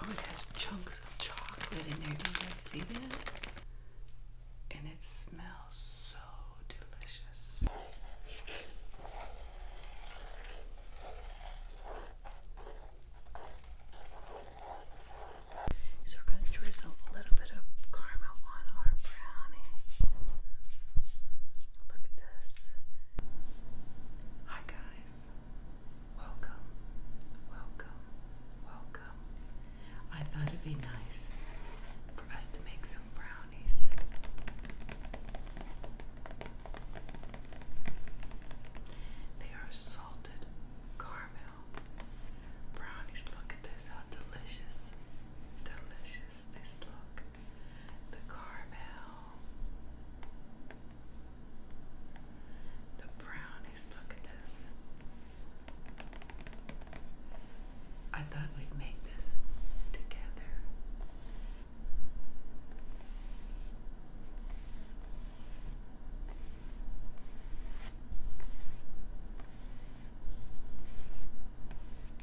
Oh, it has chunks of chocolate in there. Do you guys see that? and it smells so delicious. So we're going to drizzle a little bit of caramel on our brownie. Look at this. Hi guys. Welcome. Welcome. Welcome I thought it'd be nice for us to make some brownies. They are salted caramel brownies. Look at this, how delicious, delicious this look. The caramel. The brownies, look at this. I thought we'd make this together.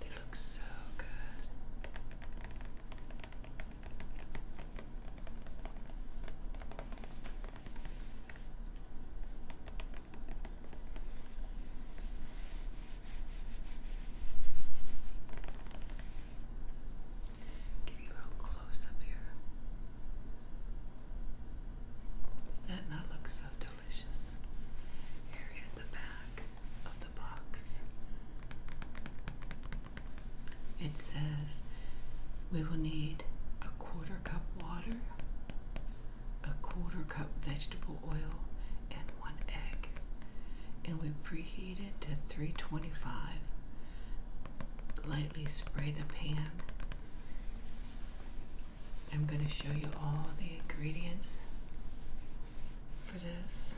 They look so good. Give you a little close up here. Does that not look so delicious? Here is the back of the box. It says we will need a quarter cup water, a quarter cup vegetable oil, and one egg. And we preheat it to 325. Lightly spray the pan. I'm going to show you all the ingredients for this.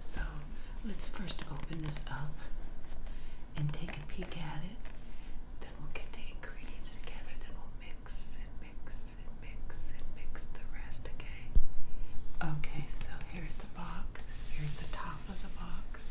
So So let's first open this up and take a peek at it. Then we'll get the ingredients together. Then we'll mix and mix and mix and mix the rest, okay? Okay, so here's the box box. Here's the top of the box.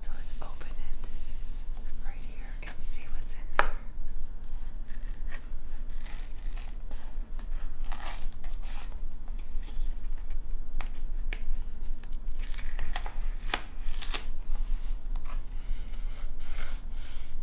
So let's open it right here and see what's in there.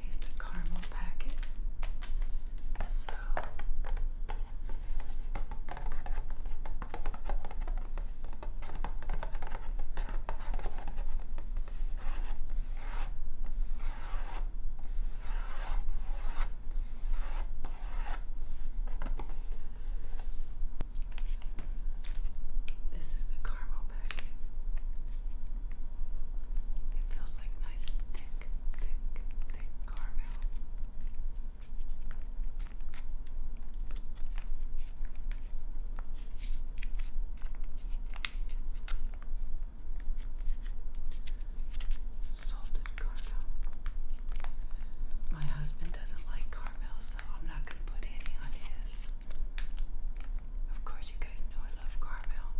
Here's the caramel packet. So this is the caramel packet. It feels like nice, thick, thick, thick caramel. Salted caramel. My husband doesn't like caramel, so I'm not going to put any on his. Of course, you guys know I love caramel,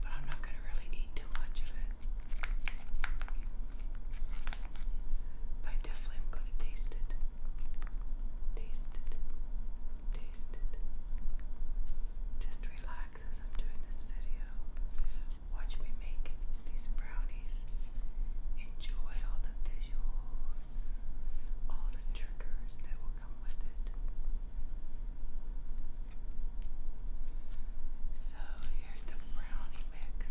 but I'm not going to really eat too much of it. But I definitely am going to taste it. Taste it. Taste it. Just relax as I'm doing this video. Watch me make these brownies. Enjoy all the visuals, all the triggers that will come with it. So here's the brownie mix.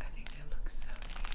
I think they look so neat.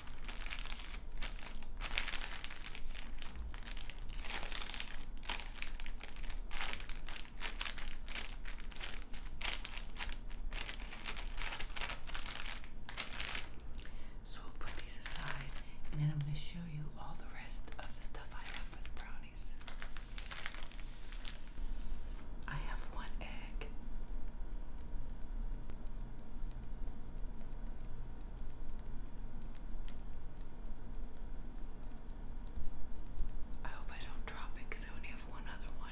So we'll put these aside and then I'm going to show you all the rest of the stuff I have for the brownies. I have one egg. I hope I don't drop it because I only have one other one.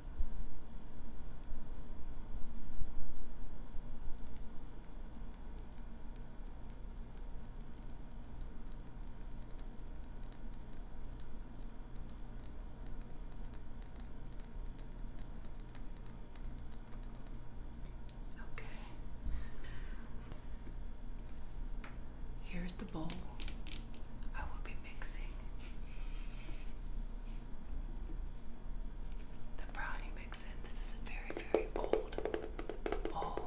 Okay. Here's the bowl. I will be mixing the brownie mix in. This is a very, very old bowl.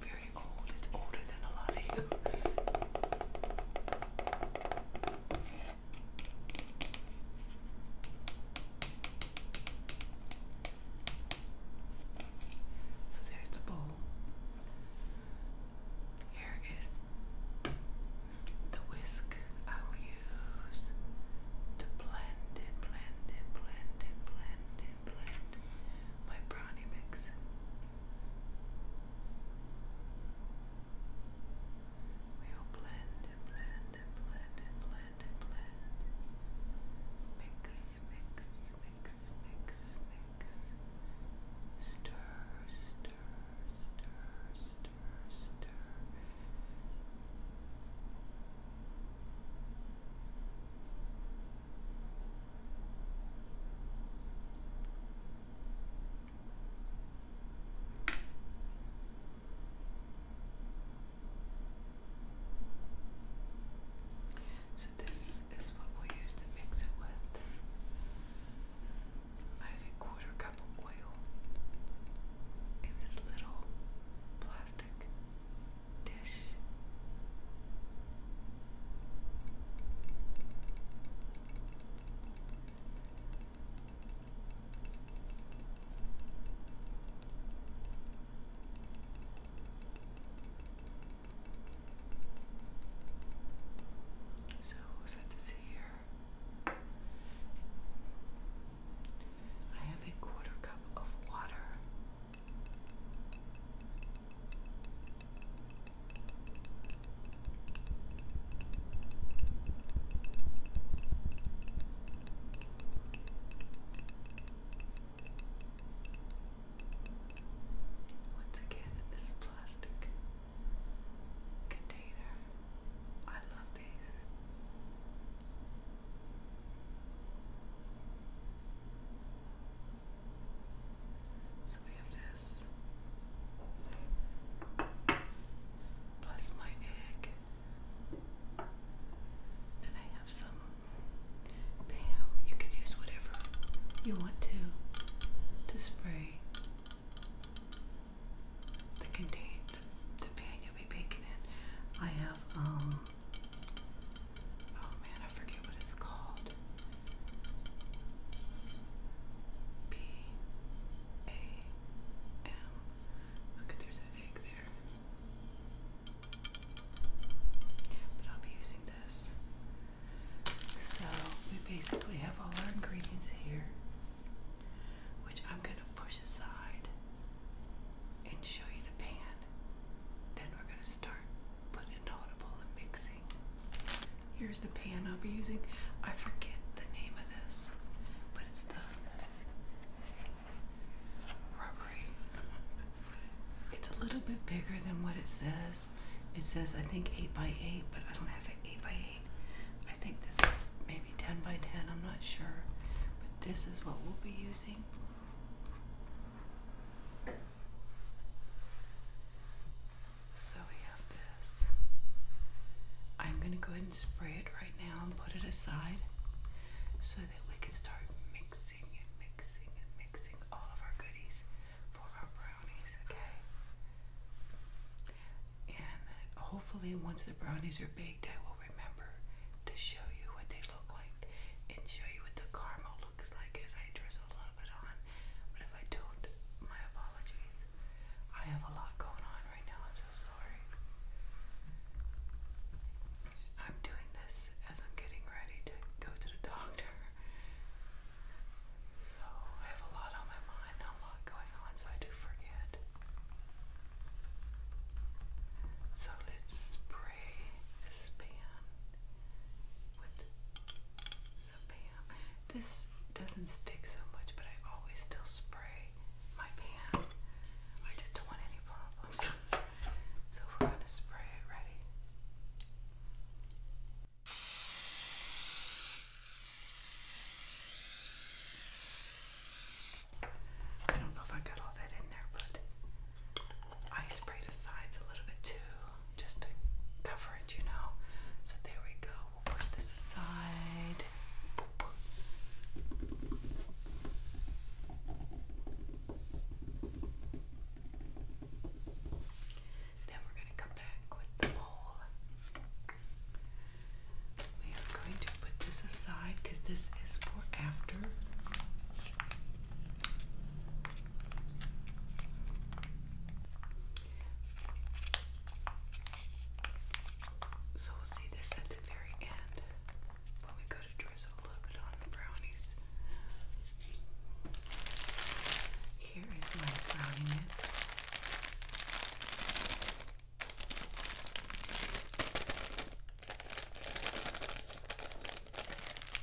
Very old. It's older than a lot of you. So there's the bowl. Here is the whisk I will use to blend and blend and blend and blend and blend my brownie mix. We will blend and blend and blend and blend blend, Mix, mix, mix, mix, mix. Stir, stir, stir, stir, stir. So this is what we'll use to mix it with. I have a quarter cup of oil in this little plastic dish. So set this here. I have a quarter cup of water. Once again, in this plastic container, I love these. So we have this, plus my egg. And I have some Pam. You can use whatever you want to to spray the contain the, pan you'll be baking in. I have um oh man, I forget what it's called. B A M. Look, there's an egg there. But I'll be using this. So we basically have all our ingredients here, which I'm going to push aside and show you the pan. Then we're going to start putting it all in bowl mixing. Here's the pan I'll be using. I forget the name of this, but it's the rubbery. It's a little bit bigger than what it says. It says I think 8 by 8 but I don't have an 8 by 8 I think this is maybe 10 by 10, I'm not sure. But this is what we'll be using. So we have this. I'm going to go ahead and spray it right now and put it aside so that we can start mixing and mixing and mixing all of our goodies for our brownies, okay? And hopefully, once the brownies are baked, I will remember to show you what they look like and show you what the caramel looks like as I drizzle a little bit on. But if I don't, my apologies. I have a lot going on right now sorry. I'm doing this as I'm getting ready to go to the doctor. So I have a lot on my mind, a lot going on, so I do forget. So let's spray this pan with some This doesn't stick so much, but I always still spray my pan. I just don't want any problems. So we're going to spray it. Ready? I don't know if I got all that in there, but I sprayed the sides a little bit too, just to cover it, you know. So there we go. We'll push this aside. Then we're going to come back with the bowl. We are going to put this aside because this is for after. So we'll see this at the very end when we go to drizzle a little bit on the brownies. Here is my brownie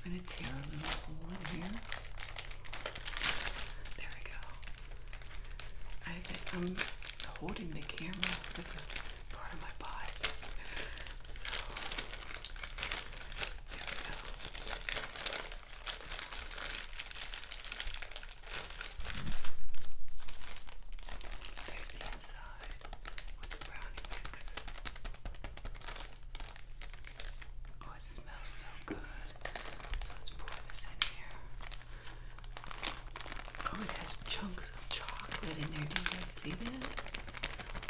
I'm going to tear a little hole in here. There we go. I I'm holding the camera with a part of my body. So There's the inside brownie mix. Oh, it smells so good. So let's pour this in here. Oh, it has chunks of chocolate in there. Do you guys see that?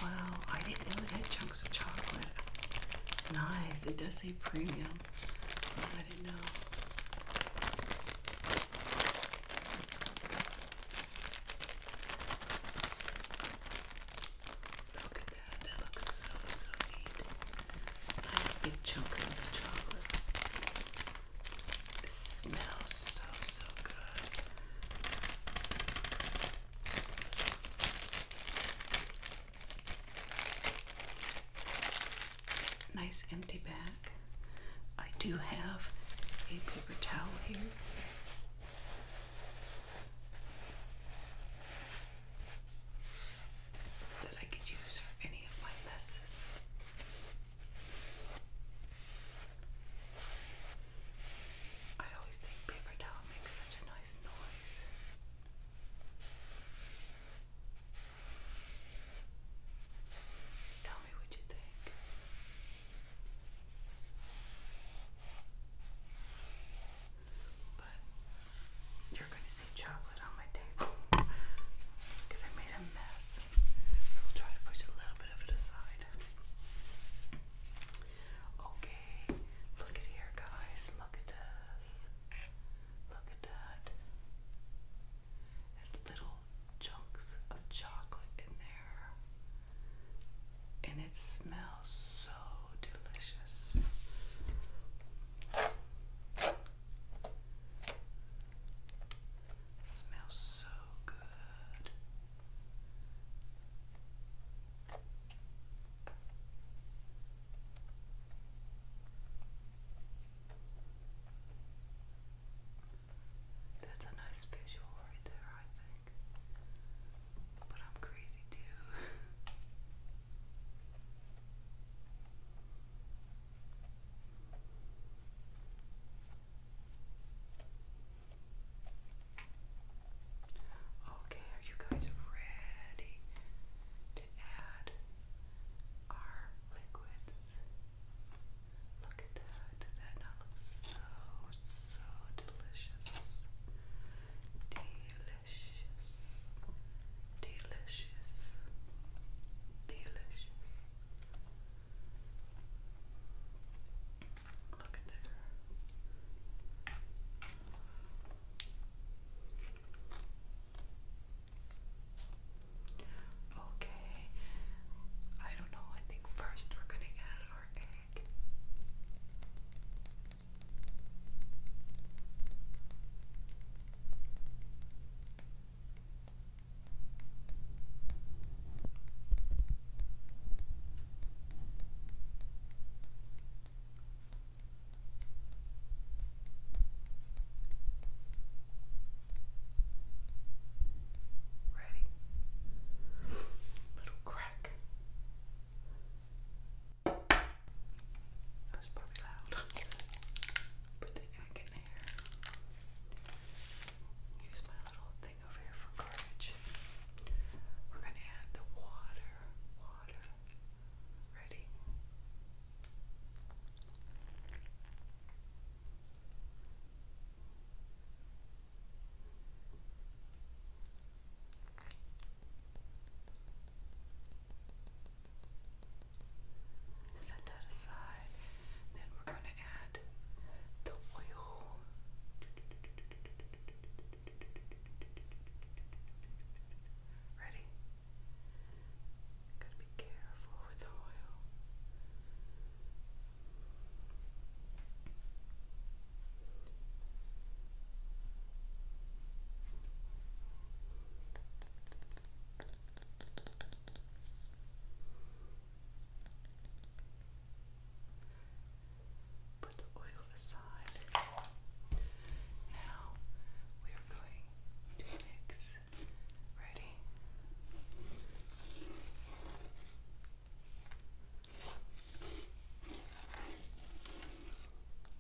Wow, I didn't know it had chunks of chocolate. Nice. It does say premium. I didn't know. Look at that. That looks so, so neat. Nice big chunks of chocolate. It smells so, so good. Nice empty bag. I do have a paper towel here. That I could use for any of my messes. I always think paper towel makes such a nice noise. Tell me what you think. But you're going to see chocolate on my table because I made a mess. So we'll try to push a little bit of it aside. Okay, look at here, guys. Look at this. Look at that. There's little chunks of chocolate in there. And it smells so delicious. Smells so good. That's a nice visual right there, I think. But I'm crazy too. Okay, are you guys ready to add our liquids? Look at that. Does that not look so, so delicious? Delicious delicious, delicious. Look at there. Okay, I don't know. I think first we're gonna add our egg. Ready? Little crack. That was probably loud. Put the egg in there. Use my little thing over here for garbage. We're going to add the water. Water. Ready? Set that aside. Then we're going to add the oil. Ready? Gotta be careful with the oil. Put the oil aside. Now we are going to mix. Ready?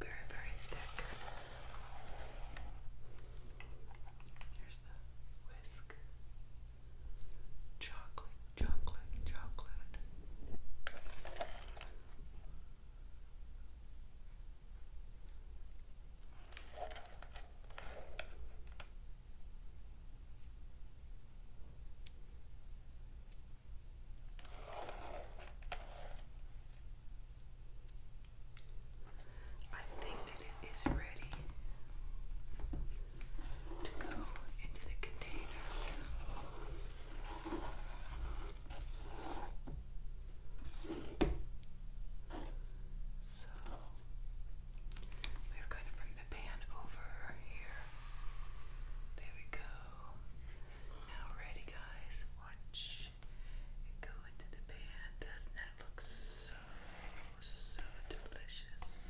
Very, very thick. Here's the whisk. Chocolate, chocolate, chocolate. I think it is ready to go into the container. So we're going to bring the pan over here. There we go. Now, ready, guys? Watch go into the pan. Doesn't that look so so, delicious.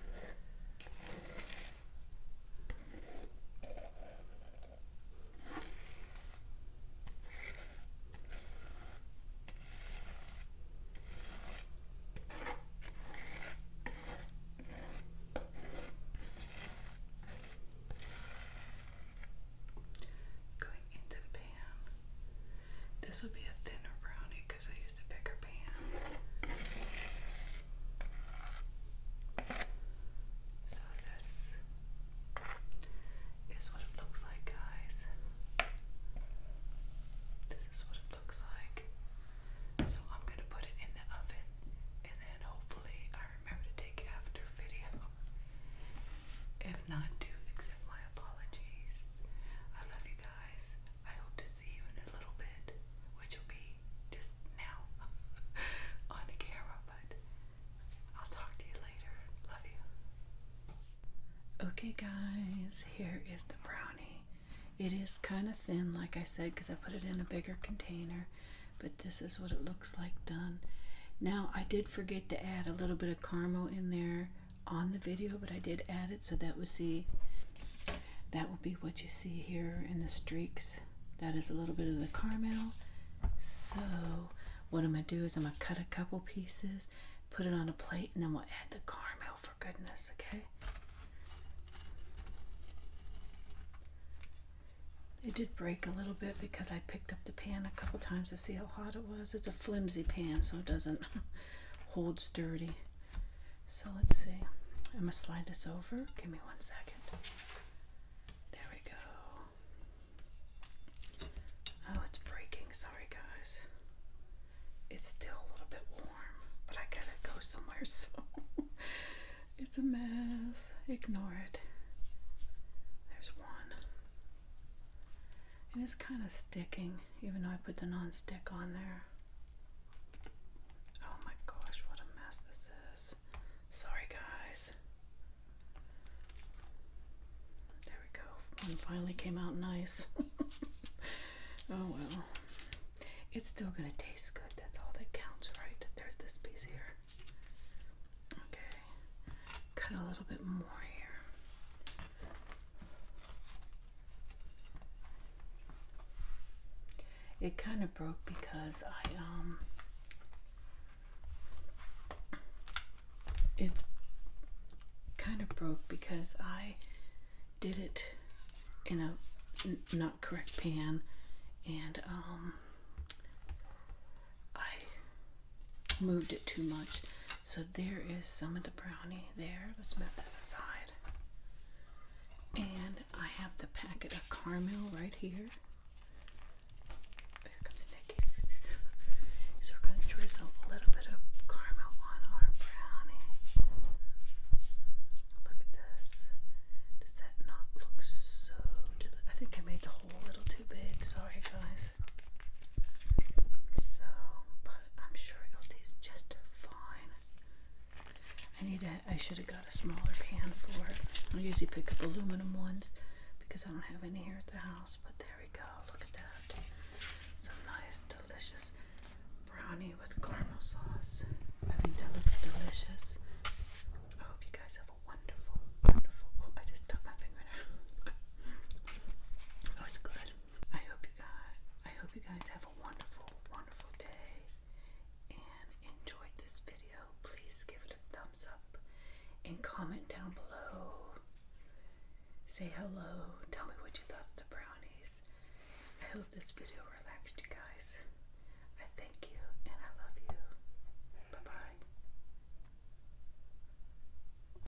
Going into the pan. This will be a thinner brownie because I used a bigger pan. So this is what it looks like, guys. This is what it looks like. So I'm gonna put it in the oven and then hopefully I remember to take after video. If not, do accept my apologies. I love you guys guys. I hope to see you in a little bit, which will be just now on the camera, but I'll talk to you later. Love you. Okay, guys, here is the brownie. It is kind of thin, like I said, because I put it in a bigger container, but this is what it looks like done. Now, I did forget to add a little bit of caramel in there on the video, but I did add it so that would see that will be what you see here in the streaks. That is a little bit of the caramel. So what I'm gonna do is I'm gonna cut a couple pieces, put it on a plate, and then we'll add the caramel for goodness, okay? It did break a little bit because I picked up the pan a couple times to see how hot it was. It's a flimsy pan, so it doesn't holds dirty. So let's see. I'm going to slide this over. Give me one second. There we go. Oh, it's breaking. Sorry, guys. It's still a little bit warm, but I gotta go somewhere, so it's a mess. Ignore it. There's one. And it's kind of sticking, even though I put the non-stick on there. Oh my gosh, what a mess this is. Sorry guys. There we go. One finally came out nice. oh well. It's still gonna taste good. That's all that counts, right? There's this piece here. Okay. Cut a little bit more here. It kind of broke because I, um, it's kind of broke because I did it in a not correct pan and, um, I moved it too much. So there is some of the brownie there. Let's move this aside. And I have the packet of caramel right here. There comes Nicky. So we're going to drizzle a little bit of caramel on our brownie. Look at this. Does that not look so delicious? I think I made the hole a little too big. Sorry, guys. So, but I'm sure it'll taste just fine. I need a, I should have got a smaller pan for it. I usually pick up aluminum ones because I don't have any here at the house, but there we go. Look at that. Some nice, delicious brownie with caramel sauce. I think that looks delicious. I hope you guys have a wonderful, wonderful. Oh, I just took my finger out. oh, it's good. I hope you guys I hope you guys have a wonderful, wonderful day and enjoyed this video. Please give it a thumbs up and comment down below. Say hello. Tell me what you thought of the brownies. I hope this video relaxed you guys. I thank you and I love you. Bye bye.